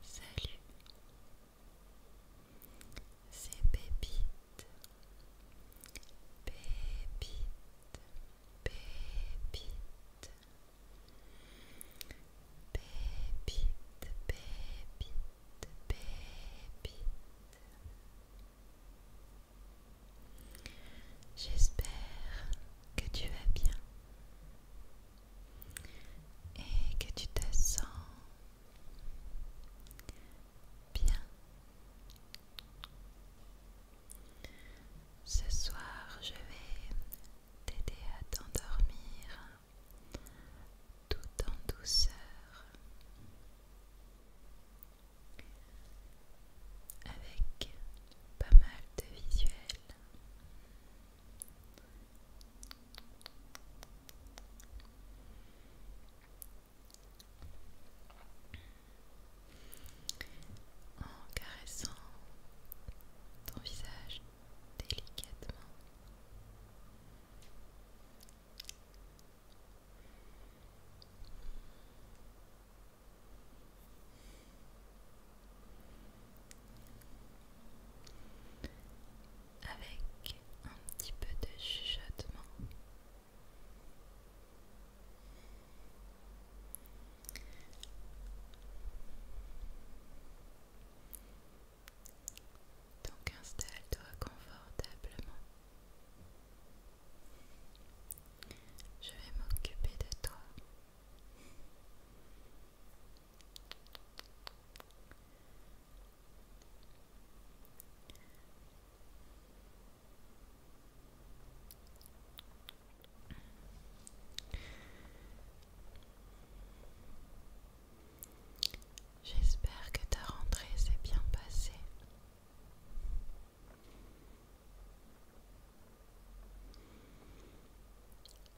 Salut, c'est Bébite Bébite, Bébite Bébite, Bébite J'espère que tu vas bien et que tu te sens bien. Ce soir, je vais t'aider à t'endormir tout en douceur. Avec pas mal de visuels. En caressant ton visage délicatement avec un petit peu de chuchotement. Donc installe-toi confortablement. Je vais m'occuper de toi. J'espère que ta rentrée s'est bien passée.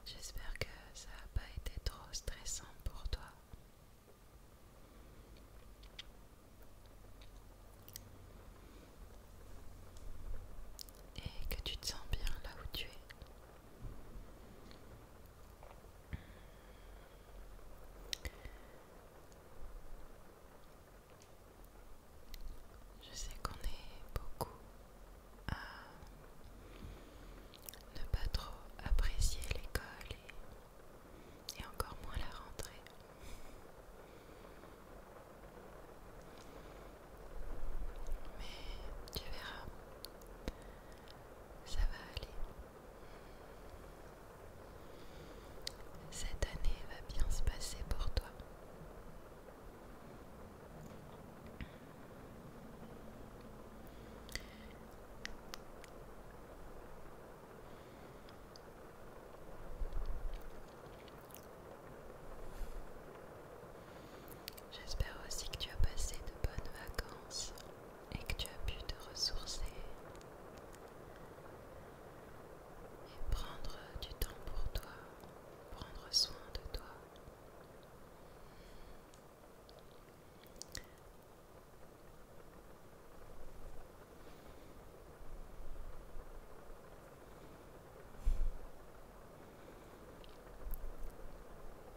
J'espère que ça n'a pas été trop stressant pour toi. Et que tu te sens bien là où tu es. Je sais qu'on est beaucoup à ne pas trop apprécier l'école et, encore moins la rentrée. Mais tu verras, ça va aller. Cette année va bien se passer pour toi. J'espère aussi que tu as passé de bonnes vacances et que tu as pu te ressourcer et prendre du temps pour toi, prendre soin de toi.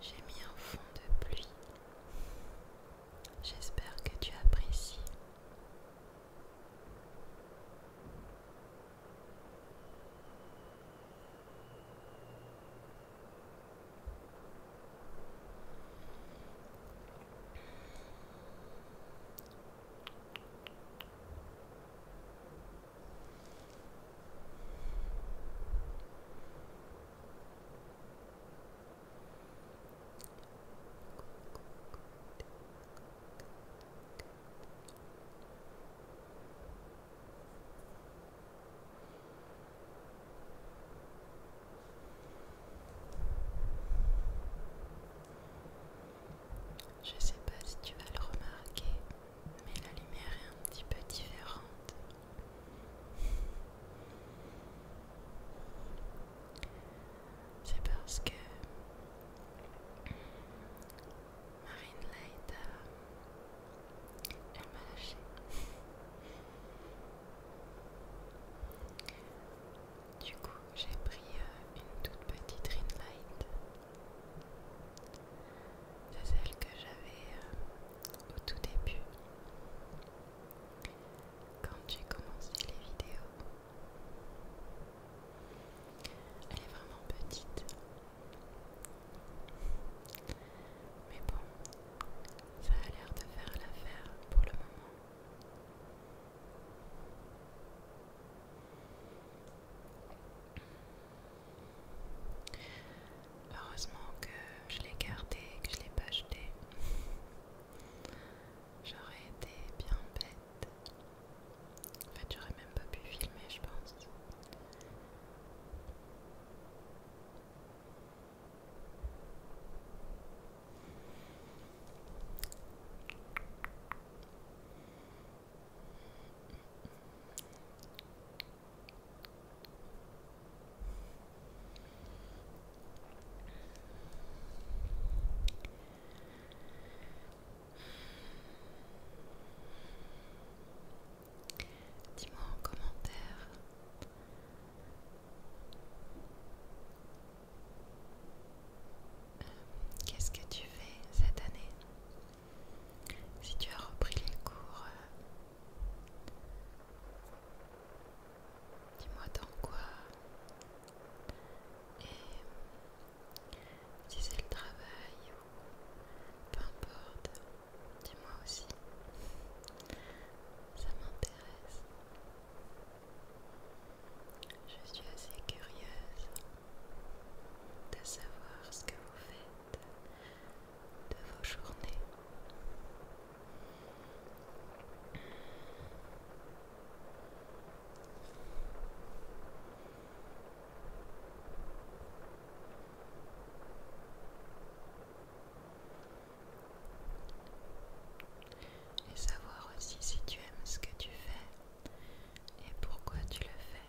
J'ai mis un fond de pluie. J'espère que tu apprécies. Je sais pas si tu vas le remarquer, mais la lumière est un petit peu différente. C'est parce que Marine Light elle m'a lâché. Du coup, j'ai pris euh, une toute petite ring light c'est celle que j'avais euh, au tout début quand j'ai commencé les vidéos. Elle est vraiment petite. Mais bon, ça a l'air de faire l'affaire pour le moment. Heureusement que je l'ai gardé que je l'ai pas jeté. J'aurais été bien bête. En fait, j'aurais même pas pu filmer, je pense. Dis-moi en commentaire euh, qu'est-ce que tu fais cette année si tu as repris les cours, euh, dis-moi dans quoi. Et si c'est le travail ou peu importe, dis-moi aussi. Ça m'intéresse. Je suis assez curieuse de savoir ce que vous faites de, vos journées. Et savoir aussi si tu aimes ce que tu fais et pourquoi tu le fais.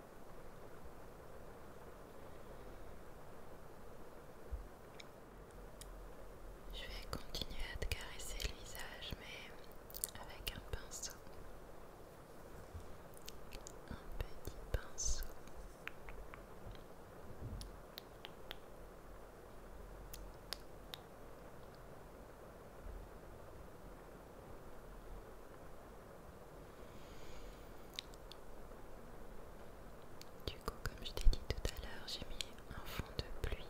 Je vais continuer à te caresser le visage, mais avec un pinceau. Un petit pinceau. Du coup, comme je t'ai dit tout à l'heure, j'ai mis un fond de pluie.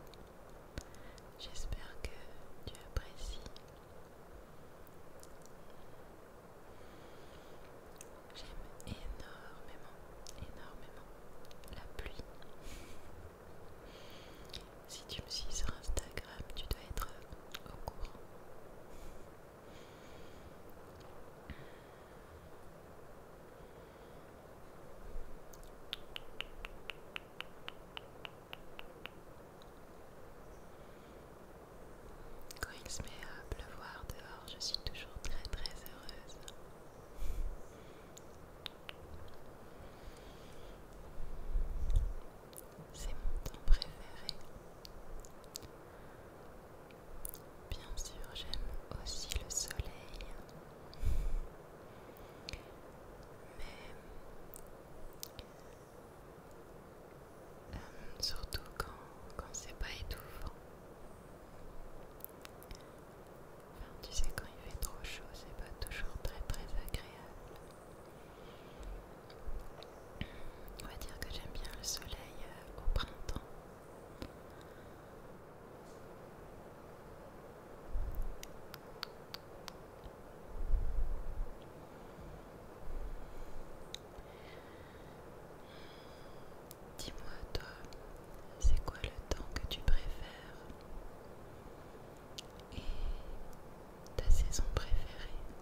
J'espère que tu apprécies. J'aime énormément, énormément la pluie. Si tu me suis sur Instagram, tu dois être au courant. Quand il se met à pleuvoir dehors, je suis toujours très très heureuse. C'est mon temps préféré. Bien sûr, j'aime aussi le soleil. Mais euh, surtout quand, quand c'est pas étouffant. Enfin, tu sais, quand il fait trop chaud, c'est pas toujours très très agréable. On va dire que j'aime bien le soleil euh, au printemps. Dis-moi toi, c'est quoi le temps que tu préfères et ta saison préférée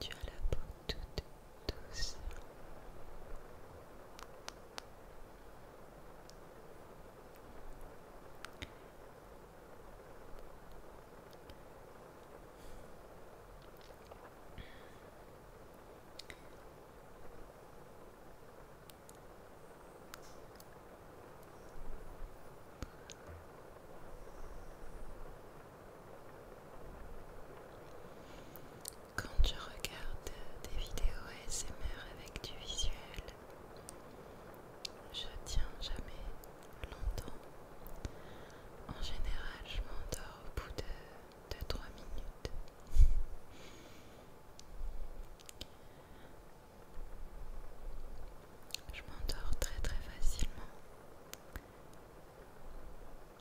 Tu as la peau toute douce. Quand je regarde des vidéos ASMR avec du visuel, je tiens jamais longtemps. En général, je m'endors au bout de 2-3 minutes. Je m'endors très très facilement.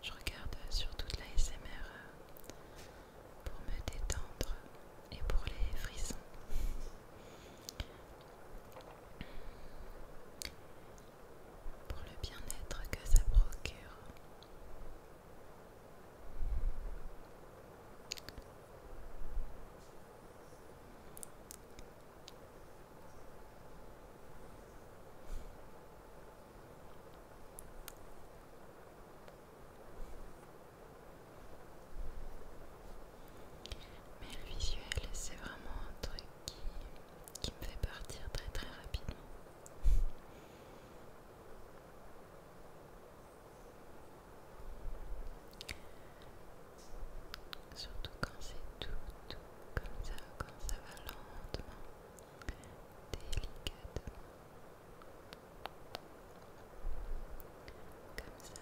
Je regarde surtout toute la SMR euh, pour me détendre et pour les frissons pour le bien-être que ça procure. Mais le visuel, c'est vraiment un truc qui, me fait partir très très rapidement. Surtout quand c'est tout, tout comme ça, quand ça va lentement, délicatement. Comme ça.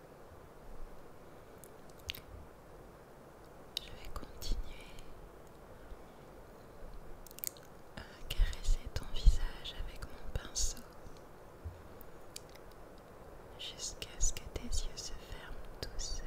Je vais continuer à euh, caresser ton visage avec mon pinceau jusqu'à ce que tes yeux se ferment tout seuls.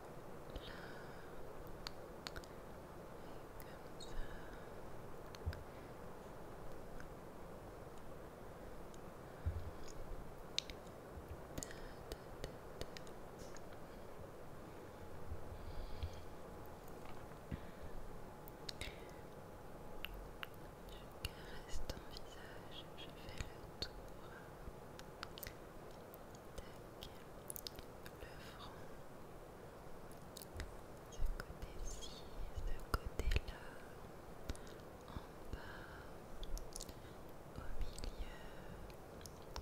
Je caresse ton visage, je fais le tour le front, ce côté-ci, ce côté-là, en bas, au milieu. Voilà.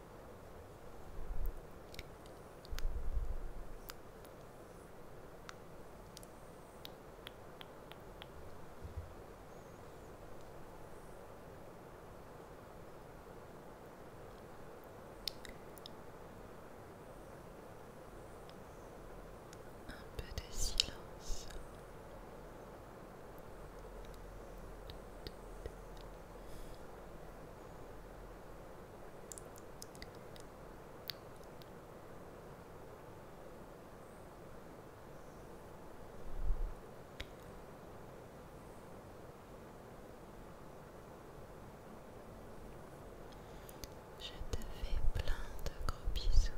Un peu de silence. Je te fais plein de gros bisous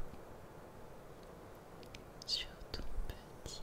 sur ton petit